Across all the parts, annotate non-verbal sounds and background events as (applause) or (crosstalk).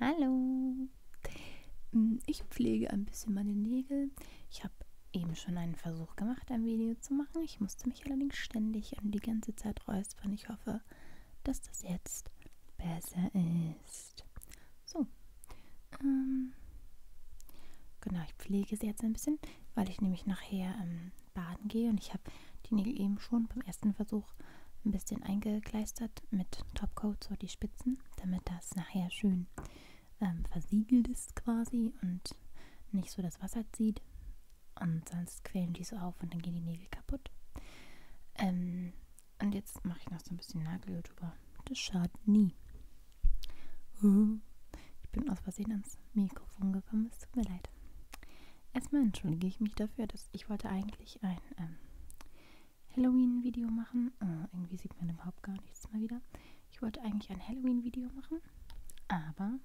Hallo. Hm, ich pflege ein bisschen meine Nägel. Ich habe eben schon einen Versuch gemacht, ein Video zu machen. Ich musste mich allerdings ständig und die ganze Zeit räuspern. Ich hoffe, dass das jetzt besser ist. So. Ähm, genau, ich pflege sie jetzt ein bisschen, weil ich nämlich nachher ähm, baden gehe und ich habe die Nägel eben schon beim ersten Versuch ein bisschen eingekleistert mit Topcoat, so die Spitzen, damit das nachher schön ähm, versiegelt ist quasi und nicht so das Wasser zieht. Und sonst quellen die so auf und dann gehen die Nägel kaputt. Ähm, und jetzt mache ich noch so ein bisschen Nagelöl drüber. Das schadet nie. Ich bin aus Versehen ans Mikrofon gekommen, es tut mir leid. Erstmal entschuldige ich mich dafür, dass ich wollte eigentlich ich ein ähm, Halloween-Video machen. Oh, irgendwie sieht man überhaupt gar nichts mehr wieder. Ich wollte eigentlich ein Halloween-Video machen, aber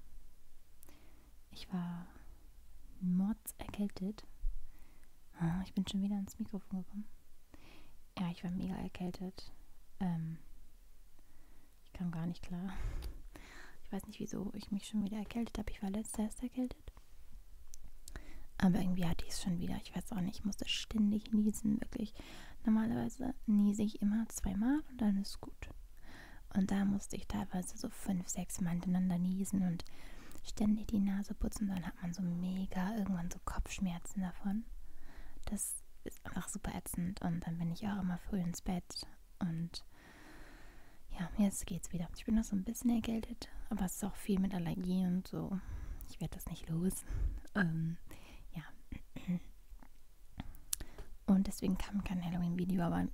ich war mords erkältet. Oh, ah, ich bin schon wieder ans Mikrofon gekommen. Ja, ich war mega erkältet. Ähm, ich kam gar nicht klar. Ich weiß nicht, wieso ich mich schon wieder erkältet habe. Ich war letztes erst erkältet. Aber irgendwie hatte ich es schon wieder. Ich weiß auch nicht, ich musste ständig niesen, wirklich. Normalerweise niese ich immer zweimal und dann ist gut. Und da musste ich teilweise so fünf, sechs Mal hintereinander niesen und ständig die Nase putzen. Dann hat man so mega irgendwann so Kopfschmerzen davon. Das ist einfach super ätzend. Und dann bin ich auch immer früh ins Bett und ja, jetzt geht's wieder. Ich bin noch so ein bisschen erkältet, aber es ist auch viel mit Allergie und so. Ich werde das nicht los. Ähm, ja. Und deswegen kam kein Halloween-Video, aber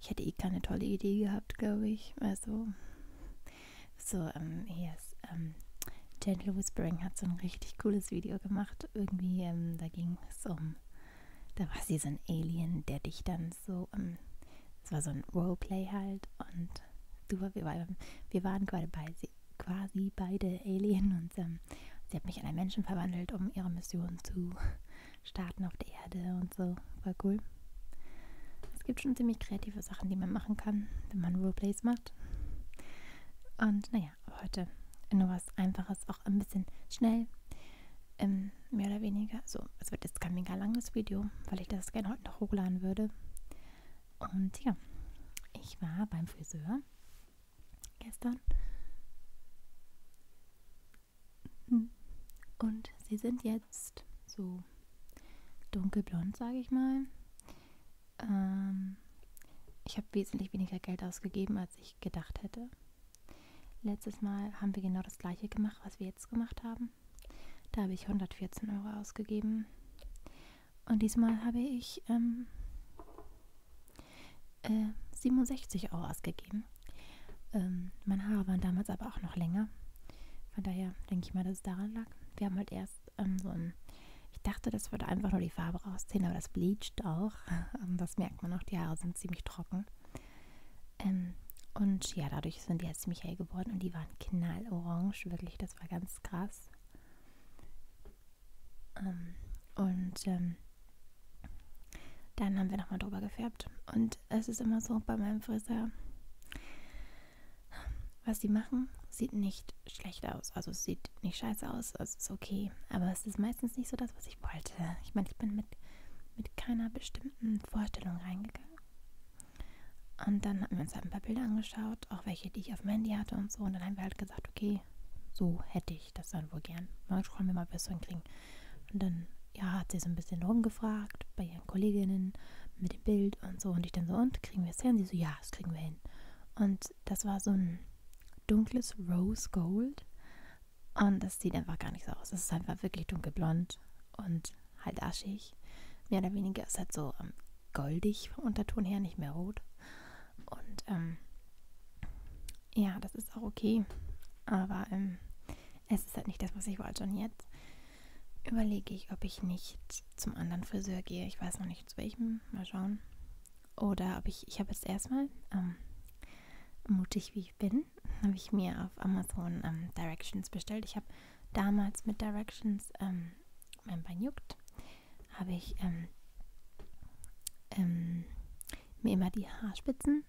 ich hätte eh keine tolle Idee gehabt, glaube ich. Also, so, ähm, hier ist, ähm, Gentle Whispering hat so ein richtig cooles Video gemacht. Irgendwie, ähm, da ging es um, da war sie so ein Alien, der dich dann und so, ähm, es ähm, war so ein Roleplay halt und super, wir, waren, wir waren quasi, bei, quasi beide Alien und ähm, sie hat mich in einen Menschen verwandelt, um ihre Mission zu starten auf der Erde und so, war cool. Es gibt schon ziemlich kreative Sachen, die man machen kann, wenn man Roleplays macht. Und naja, heute nur was Einfaches, auch ein bisschen schnell. Ähm, mehr oder weniger. So, es wird jetzt kein mega langes Video, weil ich das gerne heute noch hochladen würde. Und ja, ich war beim Friseur gestern. Und sie sind jetzt so dunkelblond, sage ich mal. Ähm, ich habe wesentlich weniger Geld ausgegeben, als ich gedacht hätte. Letztes Mal haben wir genau das gleiche gemacht, was wir jetzt gemacht haben. Da habe ich 114 Euro ausgegeben. Und diesmal habe ich ähm, äh, 67 Euro ausgegeben. Ähm, meine Haare waren damals aber auch noch länger. Von daher denke ich mal, dass es daran lag. Wir haben halt erst ähm, so ein. Ich dachte, das würde einfach nur die Farbe rausziehen, aber das bleicht auch. (laughs) das merkt man auch. Die Haare sind ziemlich trocken. Ähm, und ja, dadurch sind die jetzt halt Michael geworden und die waren knallorange, wirklich, das war ganz krass. Ähm, und ähm, dann haben wir nochmal drüber gefärbt. Und es ist immer so bei meinem Friseur, was die machen, sieht nicht schlecht aus. Also es sieht nicht scheiße aus, also es ist okay. Aber es ist meistens nicht so das, was was ich wollte. Ich meine, ich bin mit, mit keiner bestimmten Vorstellung reingegangen. Und dann haben wir uns halt ein paar Bilder angeschaut, auch welche, die ich auf dem Handy hatte und so. Und dann haben wir halt gesagt, okay, so hätte ich das dann wohl gern. Mal schauen wir mal, bis so hinkriegen. Und dann, ja, hat sie so ein bisschen rumgefragt bei ihren Kolleginnen mit dem Bild und so. Und ich dann so, und kriegen wir es hin? Sie so, ja, das kriegen wir hin. Und das war so ein dunkles Rose Gold. Und das sieht einfach gar nicht so aus. Es ist einfach wirklich dunkelblond und halt aschig. Mehr oder weniger ist halt so ähm, goldig vom Unterton her, nicht mehr rot. Und ähm, ja, das ist auch okay. Aber ähm, es ist halt nicht das, was ich wollte. Und jetzt überlege ich, ob ich nicht zum anderen Friseur gehe. Ich weiß noch nicht zu welchem. Mal schauen. Oder ob ich, ich habe jetzt erstmal, ähm, mutig wie ich bin, dann habe ich mir auf Amazon ähm, Directions bestellt. Ich habe damals mit Directions ähm, mein Bein juckt, habe ich ähm, ähm, mir immer die Haarspitzen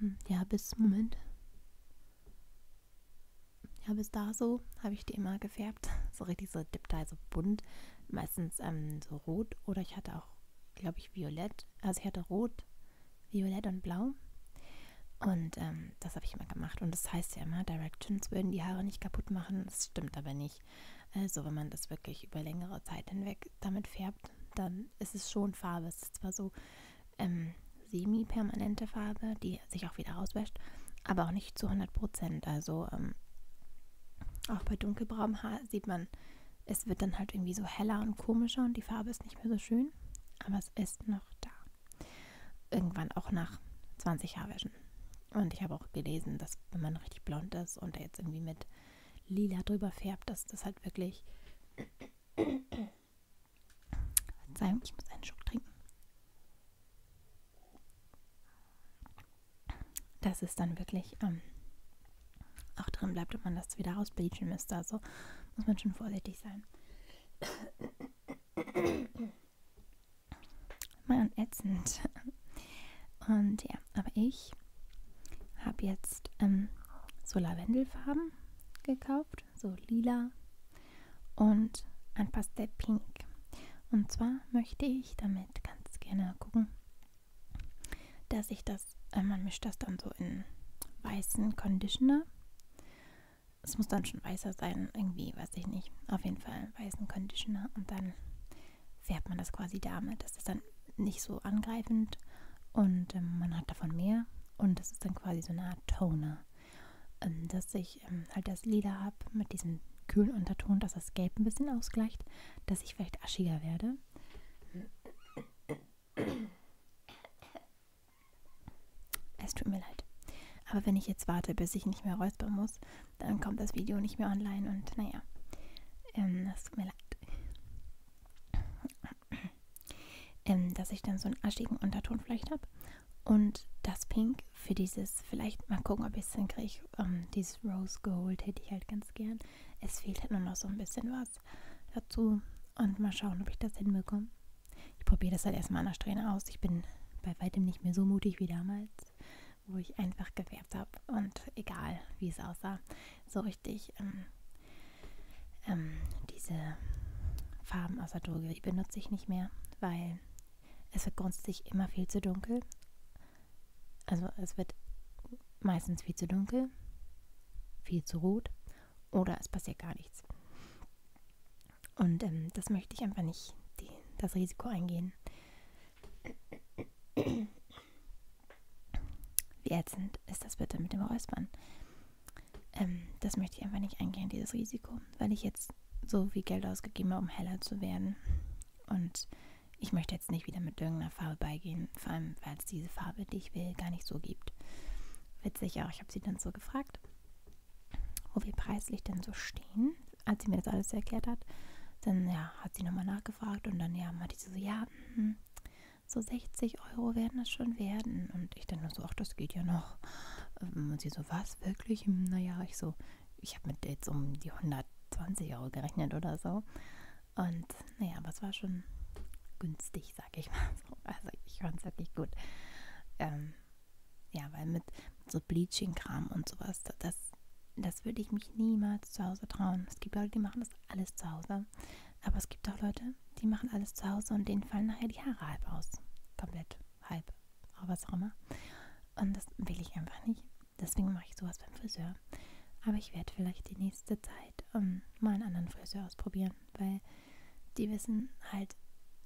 ähm, ja bis Moment ja bis da so habe ich die immer gefärbt gefärbt, so richtig so diptai, so bunt, meistens ähm, so rot oder ich hatte auch, glaube ich, violett. Also ich hatte rot, violett und blau. Und ähm, das habe ich immer gemacht. Und das heißt ja immer, Directions würden die Haare nicht kaputt machen. Das stimmt aber nicht. Also wenn man das wirklich über längere Zeit hinweg damit färbt, dann ist es schon Farbe. Es ist zwar so ähm, semi-permanente Farbe, die sich auch wieder auswäscht, aber auch nicht zu 100 Prozent. Also ähm, auch bei dunkelbraunem Haar sieht man, es wird dann halt irgendwie so heller und komischer und die Farbe ist nicht mehr so schön, aber es ist noch da. Irgendwann auch nach 20 Haarwäschen. Und ich habe auch gelesen, dass wenn man richtig blond ist und jetzt irgendwie mit lila drüber färbt, dass das halt wirklich. (coughs) Verzeihung, ich muss einen Schluck trinken dass es dann wirklich ähm, auch drin bleibt und man das wieder rausbleachen müsste. Also muss man schon vorsichtig sein. Mann, ätzend. Und ja, aber ich habe jetzt ähm, so Lavendelfarben gekauft, so lila und ein Pastell Pink. Und zwar möchte ich damit ganz gerne gucken, dass ich das, äh, man mischt das dann so in weißen Conditioner. Es muss dann schon weißer sein, irgendwie, weiß ich nicht. Auf jeden Fall weißen Conditioner und dann färbt man das quasi damit. Das ist dann nicht so angreifend und ähm, man hat davon mehr und das ist dann quasi so eine Art Toner. Ähm, das ich ähm, halt das Leder habe mit diesem kühlen Unterton, dass das Gelb ein bisschen ausgleicht, dass ich vielleicht aschiger werde. Es tut mir leid. Aber wenn ich jetzt warte, bis ich nicht mehr räuspern muss, dann kommt das Video nicht mehr online und naja, ähm, das tut mir leid. ähm, dass ich dann so einen aschigen Unterton vielleicht habe. Und das Pink für dieses, vielleicht mal gucken, ob ich es hinkriege. Ähm, dieses Rose Gold hätte ich halt ganz gern. Es fehlt halt nur noch so ein bisschen was dazu. Und mal schauen, ob ich das hinbekomme. Ich probiere das halt erstmal an der Strähne aus. Ich bin bei weitem nicht mehr so mutig wie damals, wo ich einfach gefärbt habe. Und egal, wie es aussah, so richtig ähm, ähm, diese Farben aus der Drogerie benutze ich nicht mehr, weil es wird grundsätzlich immer viel zu dunkel. Also es wird meistens viel zu dunkel, viel zu rot oder es passiert gar nichts. Und ähm, das möchte ich einfach nicht, die, das Risiko eingehen. Wie ätzend ist das bitte mit dem Räuspern? Ähm, das möchte ich einfach nicht eingehen, dieses Risiko, weil ich jetzt so viel Geld ausgegeben habe, um heller zu werden. Und ich möchte jetzt nicht wieder mit irgendeiner Farbe beigehen, vor allem weil es diese Farbe, die ich will, gar nicht so gibt. Witzig auch, ich habe sie dann so gefragt, wo wir preislich denn so stehen, als sie mir das alles erklärt hat. Dann ja, hat sie nochmal nachgefragt und dann ja, meinte sie so, ja, mh, hm, so 60 Euro werden das schon werden. Und ich dann nur so, ach, das geht ja noch. Und sie so, was, wirklich? Hm, naja, ich so, ich habe mit jetzt um die 120 Euro gerechnet oder so. Und naja, aber es war schon günstig, sag ich mal so. Also ich fand es wirklich gut. Ähm, ja, weil mit so Bleaching-Kram und sowas, das, das würde ich mich niemals zu Hause trauen. Es gibt Leute, die machen das alles zu Hause. Aber es gibt auch Leute, die machen alles zu Hause und denen fallen nachher die Haare halb aus. Komplett halb oder was auch immer. Und das will ich einfach nicht. Deswegen mache ich sowas beim Friseur. Aber ich werde vielleicht die nächste Zeit um, ähm, mal einen anderen Friseur ausprobieren, weil die wissen halt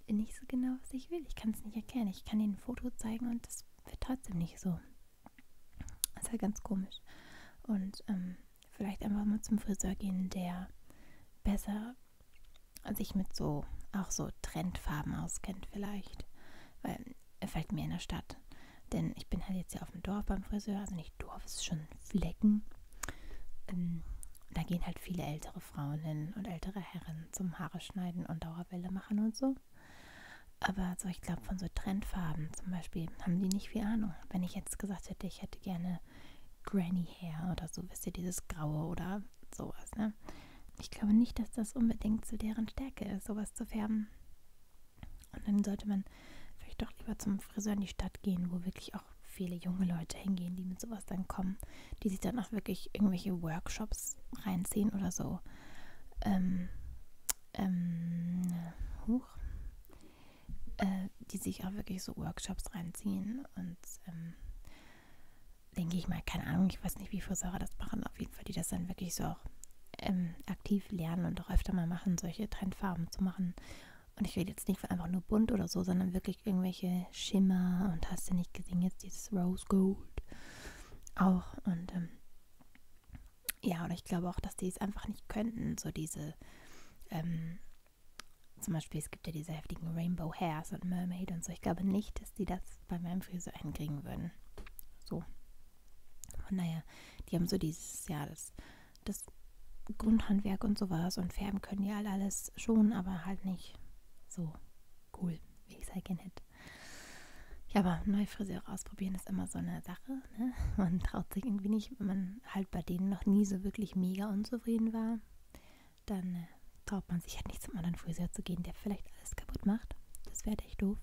nicht so genau, was ich will. Ich kann es nicht erkennen. Ich kann ihnen ein Foto zeigen und das wird trotzdem nicht so. Das ist halt ganz komisch. Und ähm, vielleicht einfach mal zum Friseur gehen, der besser sich mit so auch so Trendfarben auskennt vielleicht. Weil er fällt mir in der Stadt. Denn ich bin halt jetzt ja auf dem Dorf beim Friseur, also nicht Dorf, es ist schon Flecken. Ähm, da gehen halt viele ältere Frauen hin und ältere Herren zum Haare schneiden und Dauerwelle machen und so. Aber so, ich glaube, von so Trendfarben zum Beispiel haben die nicht viel Ahnung. Wenn ich jetzt gesagt hätte, ich hätte gerne Granny Hair oder so, wisst ihr, dieses Graue oder sowas, ne? Ich glaube nicht, dass das unbedingt zu deren Stärke ist, sowas zu färben. Und dann sollte man vielleicht doch lieber zum Friseur in die Stadt gehen, wo wirklich auch viele junge Leute hingehen, die mit sowas dann kommen, die sich dann auch wirklich irgendwelche Workshops reinziehen oder so. Ähm, ähm, huch. Äh, die sich auch wirklich so Workshops reinziehen und ähm, denke ich mal, keine Ahnung, ich weiß nicht, wie viele Säure das machen, auf jeden Fall, die das dann wirklich so auch ähm, aktiv lernen und auch öfter mal machen, solche Trendfarben zu machen. Und ich rede jetzt nicht von einfach nur bunt oder so, sondern wirklich irgendwelche Schimmer und hast du nicht gesehen, jetzt dieses Rose Gold auch. Und ähm, ja, und ich glaube auch, dass die es einfach nicht könnten, so diese ähm, zum Beispiel, es gibt ja diese heftigen Rainbow Hairs und Mermaid und so. Ich glaube nicht, dass die das bei meinem Friseur hinkriegen würden. So. Von daher, die haben so dieses, ja, das, das Grundhandwerk und sowas und färben können ja alles schon, aber halt nicht so cool, wie ich es halt gerne hätte. Ja, aber neue Friseure ausprobieren ist immer so eine Sache. Ne? Man traut sich irgendwie nicht, wenn man halt bei denen noch nie so wirklich mega unzufrieden war dann äh, traut man sich halt nicht zum anderen Friseur zu gehen, der vielleicht alles kaputt macht. Das wäre echt doof.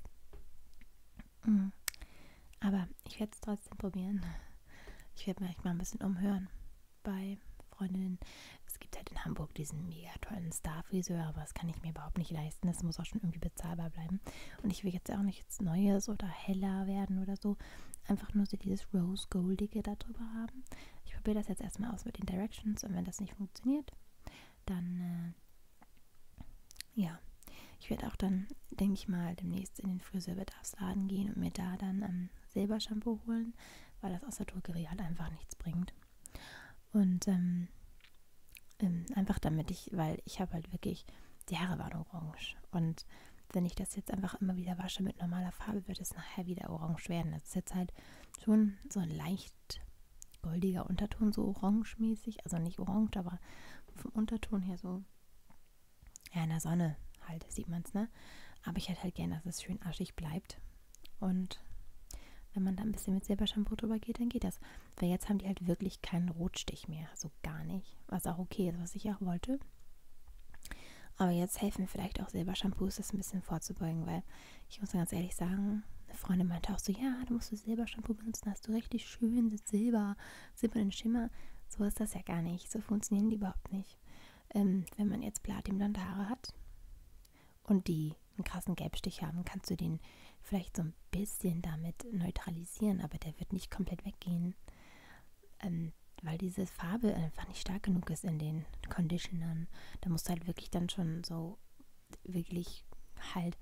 Mhm. Aber ich werde es trotzdem probieren. Ich werde mich mal ein bisschen umhören bei Freundinnen. Es gibt halt in Hamburg diesen mega tollen Star-Friseur, aber das kann ich mir überhaupt nicht leisten. Das muss auch schon irgendwie bezahlbar bleiben. Und ich will jetzt auch nichts Neues oder heller werden oder so. Einfach nur so dieses Rose-Goldige darüber haben. Ich probiere das jetzt erstmal aus mit den Directions und wenn das nicht funktioniert, dann äh, ja. Ich werde auch dann, denke ich mal, demnächst in den Friseurbedarfsladen gehen und mir da dann ähm, Silbershampoo holen, weil das aus der Drogerie halt einfach nichts bringt. Und ähm, ähm, einfach damit ich, weil ich habe halt wirklich, die Haare waren orange und wenn ich das jetzt einfach immer wieder wasche mit normaler Farbe, wird es nachher wieder orange werden. Das ist jetzt halt schon so ein leicht goldiger Unterton, so orangemäßig. Also nicht orange, aber vom Unterton her so. Ja, in der Sonne halt sieht man es, ne? Aber ich hätte halt gerne, dass es schön aschig bleibt. Und wenn man da ein bisschen mit Silbershampoo drüber geht, dann geht das. Weil jetzt haben die halt wirklich keinen Rotstich mehr. Also gar nicht. Was auch okay ist, was ich auch wollte. Aber jetzt helfen vielleicht auch Silbershampoos, das ein bisschen vorzubeugen, weil ich muss ganz ehrlich sagen, eine Freundin meinte auch so, ja, du musst du Silbershampoo benutzen, hast du richtig schön Silber, silbernen Schimmer. So ist das ja gar nicht. So funktionieren die überhaupt nicht. Ähm, wenn man jetzt platinblonde Haare hat und die einen krassen Gelbstich haben, kannst du den vielleicht so ein bisschen damit neutralisieren, aber der wird nicht komplett weggehen ähm, weil diese Farbe einfach nicht stark genug ist in den Conditionern. Da musst du halt wirklich dann schon so wirklich halt.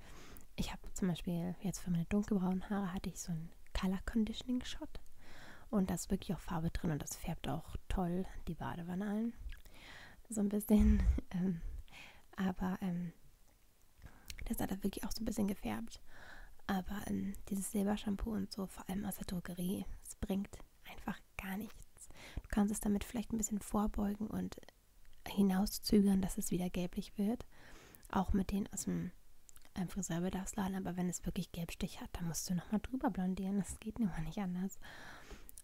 Ich habe zum Beispiel jetzt für meine dunkelbraunen Haare hatte ich so einen Color Conditioning Shot. Und da ist wirklich auch Farbe drin und das färbt auch toll die Badewanne ein. So ein bisschen. (laughs) Ähm, aber ähm, das hat er wirklich auch so ein bisschen gefärbt. Aber ähm, dieses Silbershampoo und so so vor allem aus der Drogerie. Es bringt einfach gar nichts. Du kannst es damit vielleicht ein bisschen vorbeugen und hinauszögern, dass es wieder gelblich wird. Auch mit denen aus dem einem Friseurbedarfsladen, aber wenn es wirklich Gelbstich hat, dann musst du nochmal drüber blondieren. Das geht immer nicht anders.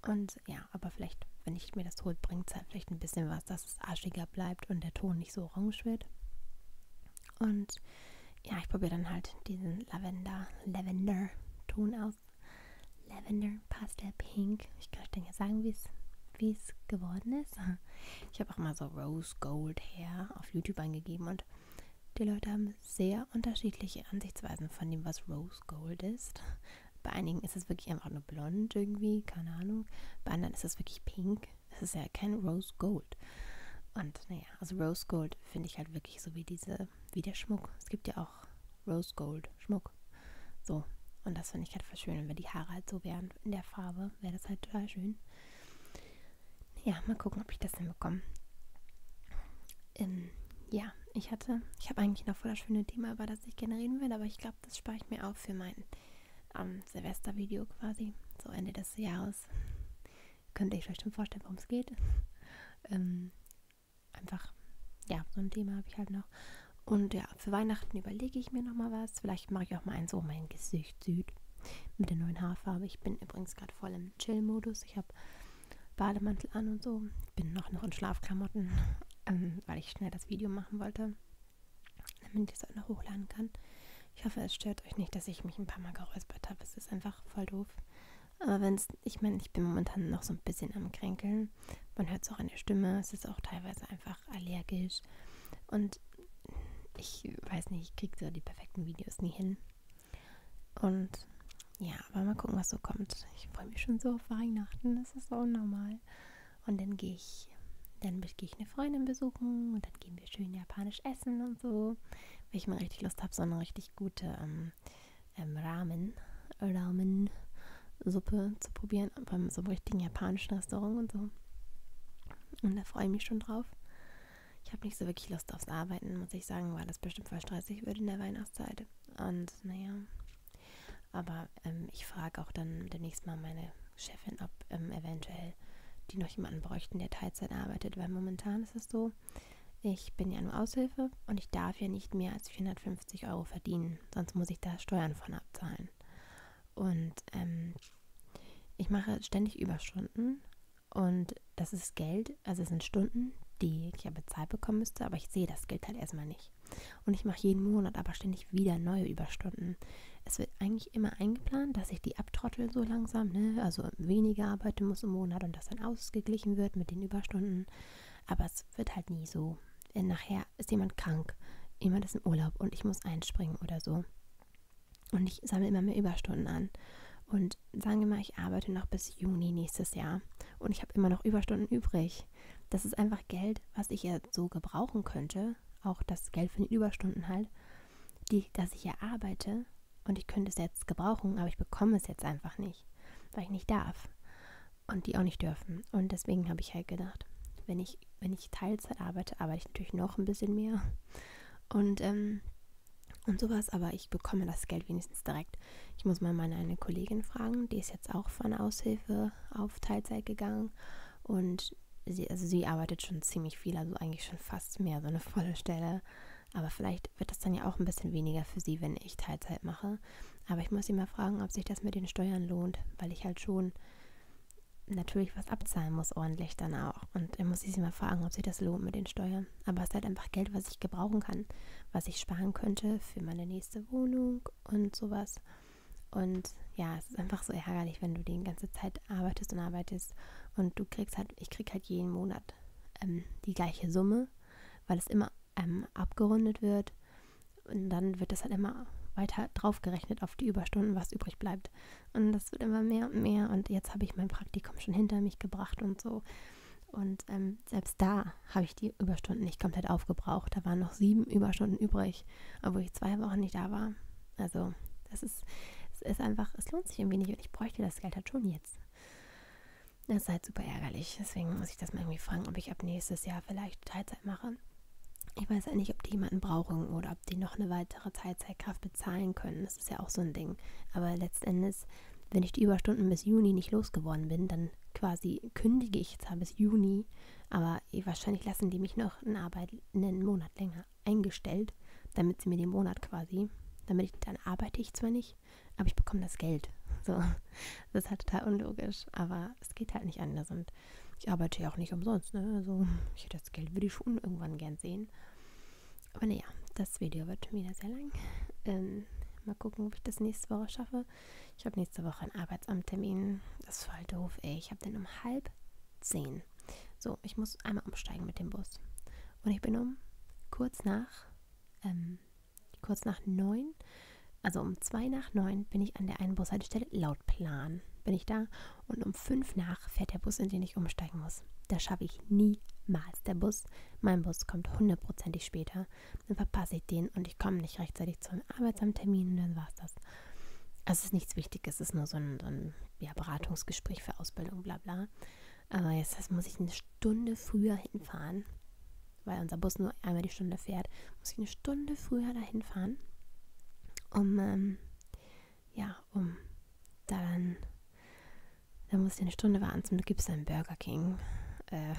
Und ja, aber vielleicht, wenn ich mir das hole, bringt es halt vielleicht ein bisschen was, dass es aschiger bleibt und der Ton nicht so orange wird. Und ja, ich probiere dann halt diesen Lavender, Lavender-Ton aus. Lavender, Pastel Pink. Ich kann euch dann ja sagen, wie es wie es geworden ist. Ich habe auch mal so Rose Gold Hair auf YouTube eingegeben und die Leute haben sehr unterschiedliche Ansichtsweisen von dem, was Rose Gold ist. Bei einigen ist es wirklich einfach nur blond irgendwie, keine Ahnung. Bei anderen ist es wirklich pink. Es ist ja kein Rose Gold. Und naja, also Rose Gold finde ich halt wirklich so wie diese, wie der Schmuck. Es gibt ja auch Rose Gold Schmuck. So. Und das finde ich halt voll schön. Und wenn die Haare halt so wären in der Farbe, wäre das halt total schön. Ja, mal gucken, ob ich das hinbekomme. Ähm, ja, ich hatte, ich habe eigentlich noch voll das schöne Thema, über das ich gerne reden will, aber ich glaube, das spare ich mir auf für mein ähm, Silvestervideo quasi, so Ende des Jahres. Könnt ihr euch bestimmt vorstellen, worum es geht. (laughs) ähm, einfach, ja, so ein Thema habe ich halt noch. Und ja, für Weihnachten überlege ich mir nochmal was. Vielleicht mache ich auch mal eins um oh, mein Gesicht süd mit der neuen Haarfarbe. Ich bin übrigens gerade voll im Chill-Modus. Ich habe Bademantel an und so. Bin noch, noch in Schlafklamotten, (laughs) ähm, weil ich schnell das Video machen wollte, damit ich es auch noch hochladen kann. Ich hoffe, es stört euch nicht, dass ich mich ein paar Mal geräuspert habe. Es ist einfach voll doof. Aber wenn es, ich meine, ich bin momentan noch so ein bisschen am Kränkeln. Man hört es auch an der Stimme. Es ist auch teilweise einfach allergisch. Und ich weiß nicht, ich kriege so die perfekten Videos nie hin. Und ja, aber mal gucken, was so kommt. Ich freue mich schon so auf Weihnachten. Das ist so unnormal. Und dann gehe ich, dann gehe ich eine Freundin besuchen und dann gehen wir schön japanisch essen und so. Weil ich mal richtig Lust habe, so eine richtig gute ähm, ähm, Ramen, Ramen Suppe zu probieren, beim so einem richtigen japanischen Restaurant und so. Und da freue ich mich schon drauf. Ich habe nicht so wirklich Lust aufs Arbeiten, muss ich sagen, weil das bestimmt voll stressig wird in der Weihnachtszeit. Und naja, aber ähm, ich frage auch dann demnächst mal meine Chefin, ob ähm, eventuell Fall die noch jemanden bräuchten, der Teilzeit arbeitet, weil momentan ist es so, ich bin ja nur Aushilfe und ich darf ja nicht mehr als 450 Euro verdienen, sonst muss ich da Steuern von abzahlen. Und ähm, ich mache ständig Überstunden und das ist Geld, also es sind Stunden, die ich ja bezahlt bekommen müsste, aber ich sehe das Geld halt erstmal nicht. Und ich mache jeden Monat aber ständig wieder neue Überstunden, es wird eigentlich immer eingeplant, dass ich die abtrottel so langsam, ne? also weniger arbeiten muss im Monat und das dann ausgeglichen wird mit den Überstunden. Aber es wird halt nie so. Nachher ist jemand krank, jemand ist im Urlaub und ich muss einspringen oder so. Und ich sammle immer mehr Überstunden an. Und sagen wir mal, ich arbeite noch bis Juni nächstes Jahr und ich habe immer noch Überstunden übrig. Das ist einfach Geld, was ich ja so gebrauchen könnte. Auch das Geld für die Überstunden halt die, dass ich erarbeite und ich könnte es jetzt gebrauchen, aber ich bekomme es jetzt einfach nicht, weil ich nicht darf und die auch nicht dürfen. Und deswegen habe ich halt gedacht, wenn ich, wenn ich Teilzeit arbeite, arbeite ich natürlich noch ein bisschen mehr und, ähm, und sowas, aber ich bekomme das Geld wenigstens direkt. Ich muss mal meine eine Kollegin fragen, die ist jetzt auch von Aushilfe auf Teilzeit gegangen und sie, also sie arbeitet schon ziemlich viel, also eigentlich schon fast mehr so eine volle Stelle. Aber vielleicht wird das dann ja auch ein bisschen weniger für sie, wenn ich Teilzeit mache. Aber ich muss sie mal fragen, ob sich das mit den Steuern lohnt, weil ich halt schon natürlich was abzahlen muss, ordentlich dann auch. Und dann muss ich sie mal fragen, ob sich das lohnt mit den Steuern. Aber es ist halt einfach Geld, was ich gebrauchen kann, was ich sparen könnte für meine nächste Wohnung und sowas. Und ja, es ist einfach so ärgerlich, wenn du die ganze Zeit arbeitest und arbeitest und du kriegst halt, ich krieg halt jeden Monat ähm, die gleiche Summe, weil es immer ähm, abgerundet wird und dann wird das halt immer weiter draufgerechnet auf die Überstunden, was übrig bleibt. Und das wird immer mehr und mehr und jetzt habe ich mein Praktikum schon hinter mich gebracht und so. Und ähm, selbst da habe ich die Überstunden nicht komplett aufgebraucht. Da waren noch sieben Überstunden übrig, obwohl ich zwei Wochen nicht da war. Also, das ist, es ist einfach, es lohnt sich irgendwie nicht und ich bräuchte das Geld halt schon jetzt. Das ist halt super ärgerlich. Deswegen muss ich das mal irgendwie fragen, ob ich ab nächstes Jahr vielleicht Teilzeit mache. Ich weiß ja halt nicht, ob die jemanden brauchen oder ob die noch eine weitere Teilzeitkraft bezahlen können. Das ist ja auch so ein Ding. Aber letztendlich, wenn ich die Überstunden bis Juni nicht losgeworden bin, dann quasi kündige ich zwar bis Juni, aber aber eh, wahrscheinlich lassen die mich noch in Arbeit einen Monat länger eingestellt, damit sie mir den Monat quasi, damit ich dann arbeite ich zwar nicht, aber ich bekomme das Geld. (laughs) So, das ist halt total unlogisch, aber es geht halt nicht anders und ich arbeite ja auch nicht umsonst, ne? Also ich, das Geld würde ich schon irgendwann gern sehen. Aber naja, das Video wird schon wieder sehr lang. Ähm, mal gucken, ob ich das nächste Woche schaffe. Ich habe nächste Woche einen Arbeitsamttermin. Das ist voll doof, ey. Ich habe den um halb 10. So, ich muss einmal umsteigen mit dem Bus. Und ich bin um kurz nach, ähm, kurz nach 9, also um 2 nach 9 bin ich an der einen Bushaltestelle laut Plan. Bin ich da und um 5 nach fährt der Bus, in den ich umsteigen muss. Das schaffe ich niemals. Der Bus, mein Bus kommt hundertprozentig später. Dann verpasse ich den und ich komme nicht rechtzeitig zum Arbeitsamttermin und dann war es das. Also es ist nichts Wichtiges, es ist nur so ein, so ein ja, Beratungsgespräch für Ausbildung, bla bla. Aber jetzt das muss ich eine Stunde früher hinfahren, weil unser Bus nur einmal die Stunde fährt. Muss ich eine Stunde früher dahin fahren, um, ähm, ja, um da dann, dann muss ich eine Stunde warten. Zum Glück gibt es einen Burger King. Äh,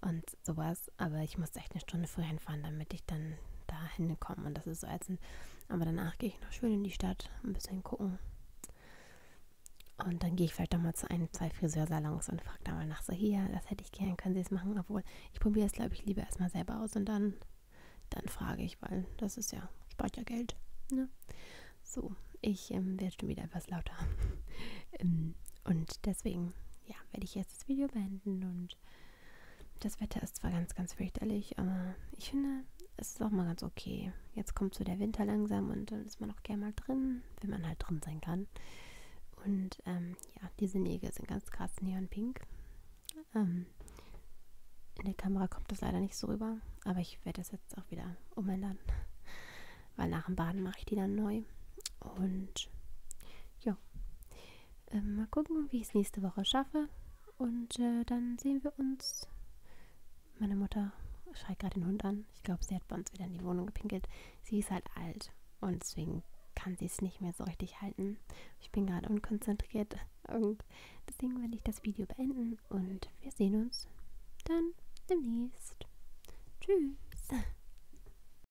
und und sowas. Aber ich musste echt eine Stunde früher hinfahren, damit ich dann da hinkomme. Und das ist so ätzend. Aber danach gehe ich noch schön in die Stadt, ein bisschen gucken. Und dann gehe ich vielleicht doch mal zu ein, zwei Friseursalons und frage da mal nach, so hier, das hätte ich gern, können Sie es machen? Obwohl, ich probiere es, glaube ich, lieber erstmal selber aus und dann, dann frage ich, weil das ist ja, spart ja Geld. Ne? So, ich ähm, werde schon wieder etwas lauter. (laughs) ähm, und deswegen, ja, werde ich jetzt das Video beenden und das Wetter ist zwar ganz, ganz fürchterlich, aber ich finde, es ist auch mal ganz okay. Jetzt kommt so der Winter langsam und dann ist man auch gerne mal drin, wenn man halt drin sein kann. Und ähm, ja, diese Nägel sind ganz krass neonpink. Ähm, in der Kamera kommt das leider nicht so rüber, aber ich werde das jetzt auch wieder umändern, (laughs) weil nach dem Baden mache ich die dann neu. Und ja, äh, mal gucken, wie ich es nächste Woche schaffe. Und äh, dann sehen wir uns. Meine Mutter schreit gerade den Hund an. Ich glaube, sie hat bei uns wieder in die Wohnung gepinkelt. Sie ist halt alt und deswegen kann sie es nicht mehr so richtig halten. Ich bin gerade unkonzentriert (laughs) und deswegen werde ich das Video beenden und wir sehen uns dann demnächst. Tschüss. (laughs)